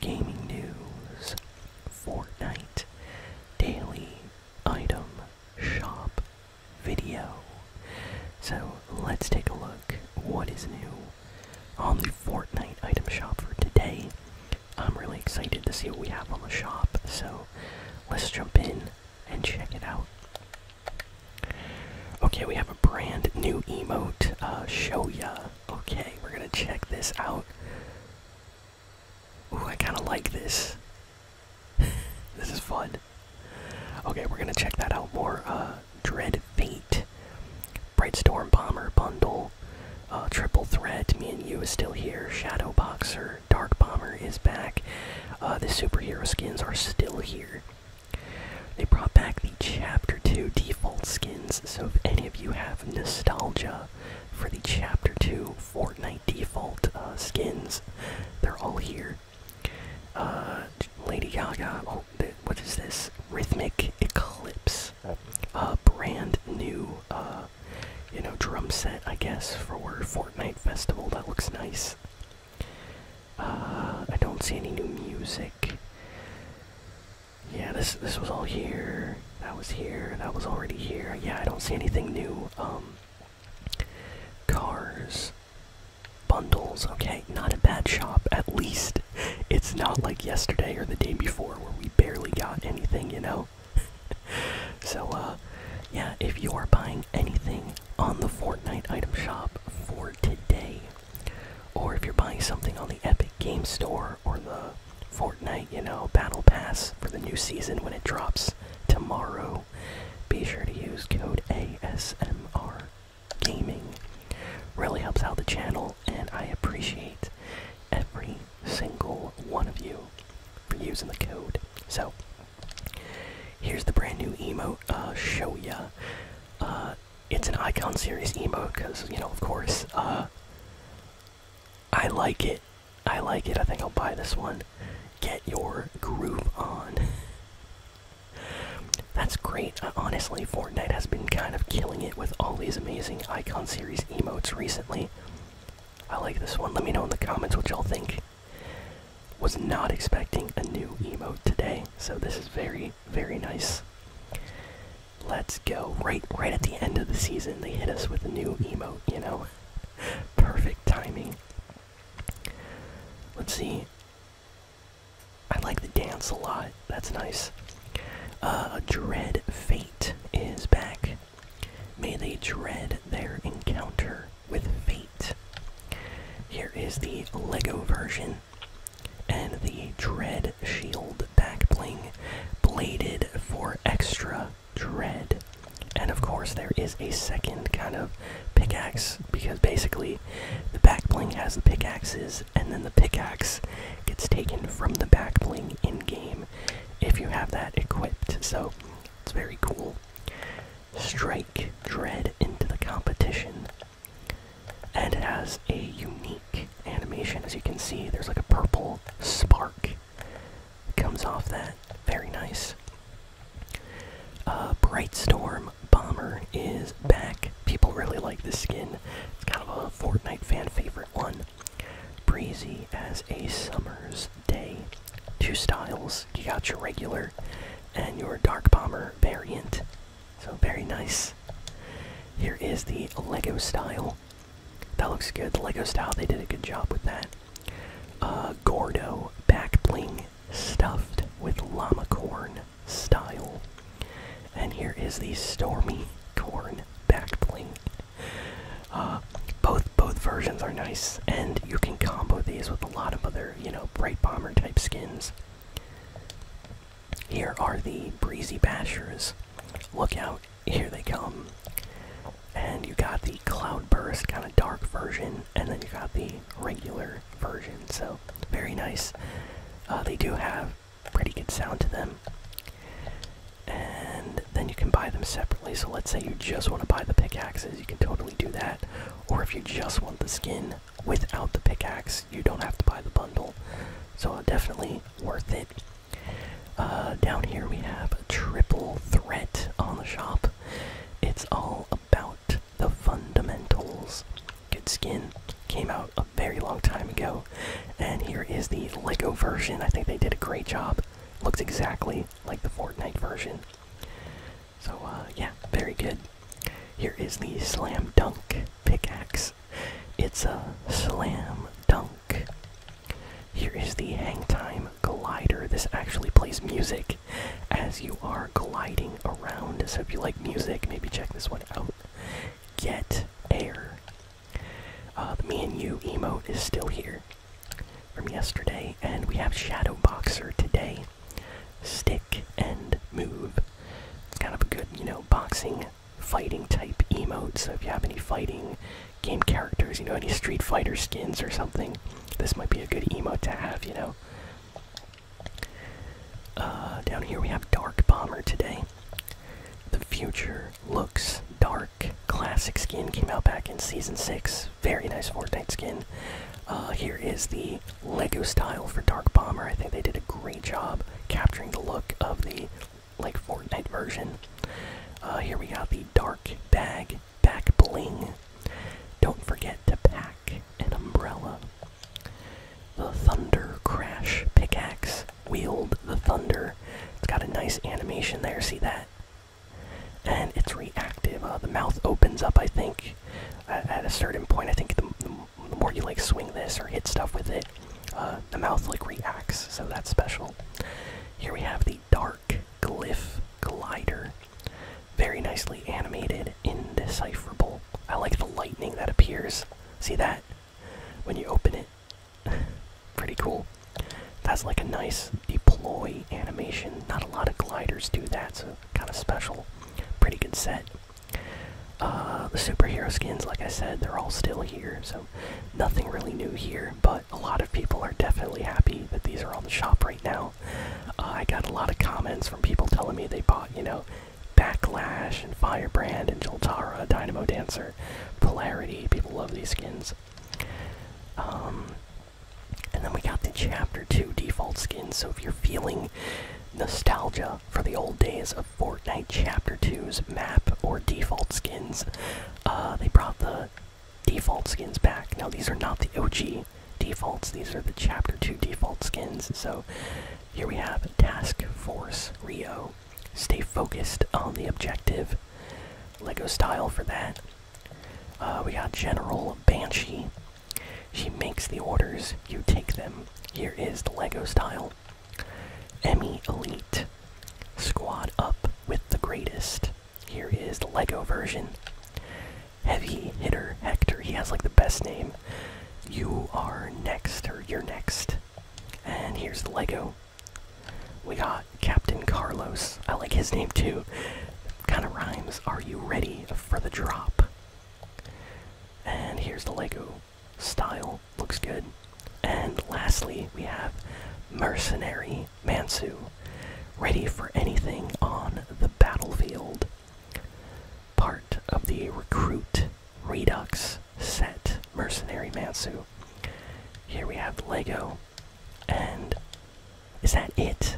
gaming news, Fortnite, daily item shop video. So let's take a look what is new on the Fortnite item shop for today. I'm really excited to see what we have on the shop, so let's jump in and check it out. Okay, we have a brand new emote, uh, Show Ya. Okay, we're gonna check this out. Ooh, I kind of like this. this is fun. Okay, we're gonna check that out more. Uh, Dread Fate, Bright Storm Bomber Bundle, uh, Triple Threat. Me and you is still here. Shadow Boxer, Dark Bomber is back. Uh, the superhero skins are still here. They brought back the Chapter Two default skins so if any of you have nostalgia for the Chapter 2 Fortnite default uh, skins, they're all here. Uh, Lady Gaga, oh, what is this? Rhythmic Eclipse. A brand new, uh, you know, drum set, I guess, for Fortnite Festival. That looks nice. I don't see any new music. Yeah, this this was all here. That was here. That was already here. Yeah, I don't see anything new. Um, cars, bundles. Okay, not a bad shop. At least it's not like yesterday or the day before where we barely got anything. You know. so, uh, yeah, if you are buying anything on the Fortnite item shop for today, or if you're buying something on the Epic Game Store or the Fortnite, you know, Battle Pass for the new season when it drops tomorrow, be sure to use code ASMR Gaming. Really helps out the channel, and I appreciate every single one of you for using the code. So, here's the brand new emote, uh, Show Ya. Uh, it's an Icon Series emo, because you know, of course. Uh, I like it. I like it. I think I'll buy this one. Get your groove on. That's great. Uh, honestly, Fortnite has been kind of killing it with all these amazing Icon Series emotes recently. I like this one. Let me know in the comments what y'all think. Was not expecting a new emo today, so this is very, very nice. Let's go. Right right at the end of the season they hit us with a new emote, you know. Perfect timing. Let's see. I like the dance a lot. That's nice. Uh, dread Fate is back. May they dread their encounter with Fate. Here is the Lego version and the Dread Shield backbling, bladed for extra dread. And of course, there is a second kind of pickaxe because basically the backbling has the pickaxes, and then the pickaxe gets taken from the backbling in game if you have that equipped. So it's very cool. Strike Dread into the competition and it has a unique animation. As you can see, there's like a purple spark that comes off that. Very nice. Uh, Bright Storm Bomber is back. People really like this skin. It's kind of a Fortnite fan favorite one. Breezy as a summer's day. Two styles. You got your regular and your Dark Bomber variant. So very nice. Here is the Lego style. That looks good. The Lego style, they did a good job with that. Uh, Gordo back bling stuffed with llama corn style. And here is the Stormy Corn back bling. Uh, both both versions are nice, and you can combo these with a lot of other, you know, bright bomber type skins. Here are the breezy bashers. Look out, here they come. And you got the cloudburst kind of dark version, and then you got the regular version. So very nice. Uh, they do have pretty good sound to them. And then you can buy them separately. So let's say you just want to buy the pickaxes, you can totally do that. Or if you just want the skin, without the pickaxe. You don't have to buy the bundle. So uh, definitely worth it. Uh, down here we have a triple threat on the shop. It's all about the fundamentals. Good skin came out a very long time ago, and here is the Lego version. I think they did a great job. Looks exactly like the Fortnite version. So, uh, yeah, very good. Here is the Slam Dunk pickaxe. It's a Slam Dunk. Here is the Hang Time Glider. This actually plays music as you are gliding around. So, if you like music, maybe check this one out. Get Air. Uh, the Me and You emote is still here from yesterday, and we have Shadow Boxer today stick and move. It's kind of a good, you know, boxing fighting type emote. So if you have any fighting game characters, you know, any Street Fighter skins or something, this might be a good emote to have, you know. Uh, down here we have Dark Bomber today. The future looks dark. Classic skin came out back in season six. Very nice Fortnite skin. Uh, here is the Lego style for Dark Bomber. I think they did a great job capturing the look of the like Fortnite version. Uh, here we have the Dark Bag Back Bling. Don't forget to pack an umbrella. The Thunder Crash Pickaxe. Wield the Thunder. It's got a nice animation there, see that? And it's reactive. Uh, the mouth opens up, I think, at a certain point, I think the, more you like swing this or hit stuff with it, uh, the mouth like reacts, so that's special. Here we have the Dark Glyph Glider. Very nicely animated, indecipherable. I like the lightning that appears. See that? When you open it. Pretty cool. That's like a nice deploy animation. Not a lot of gliders do that, kind of special. Pretty good set. Uh, the superhero skins, like I said, they're all still here, so nothing really new here. But a lot of people are definitely happy that these are on the shop right now. Uh, I got a lot of comments from people telling me they bought, you know, Backlash and Firebrand and Joltara, Dynamo Dancer, Polarity. People love these skins. Um, and then we got the Chapter 2 default skins, so if you're feeling nostalgia for the old days of Fortnite Chapter 2's map or default skins, uh, they brought the default skins back. Now, these are not the OG defaults, these are the Chapter 2 default skins. So here we have Task Force Rio. Stay focused on the objective. Lego style for that. Uh, we got General Banshee. She makes the orders, you take them. Here is the Lego style. Emmy Elite. Squad up with the greatest. Here is the Lego version. Heavy hitter Hector. He has like the best name. You are next, or you're next. And here's the Lego. We got Captain Carlos. I like his name too. Kind of rhymes. Are you ready for the drop? And here's the Lego style. Looks good. And lastly, we have Mercenary Mansu. Ready for anything on the battlefield. Part of the Recruit Redux set. Mercenary Mansu. Here we have Lego and is that it?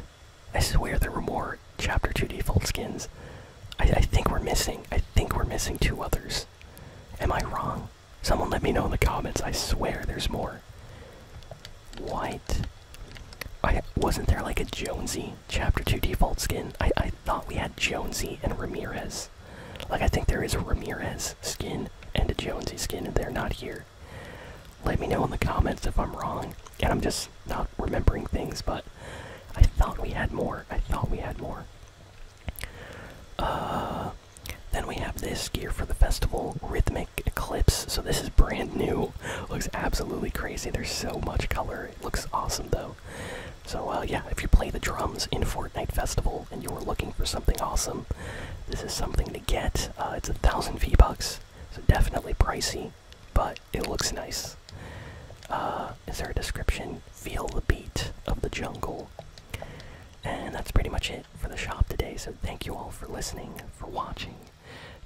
I swear there were more Chapter 2 default skins. I, I think we're missing. I think we're missing two others. Am I wrong? Someone let me know in the comments. I swear there's more. White. I wasn't there like a Jonesy Chapter 2 default skin. I, I thought we had Jonesy and Ramirez. Like I think there is a Ramirez skin and a Jonesy skin and they're not here. Let me know in the comments if I'm wrong and I'm just not remembering things, but I thought we had more. I thought we had more. Uh, then we have this gear for the festival, Rhythmic Eclipse. So this is brand new. Looks absolutely crazy. There's so much color. It looks awesome though. So uh, yeah, if you play the drums in Fortnite Festival and you were looking for something awesome, this is something to get. Uh, it's a thousand V bucks, so definitely pricey, but it looks nice. Uh, is there description? Feel the beat of the jungle. And that's pretty much it for the shop today. So thank you all for listening, for watching.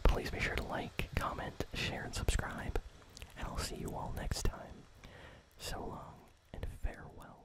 Please be sure to like, comment, share, and subscribe. And I'll see you all next time. So long and farewell.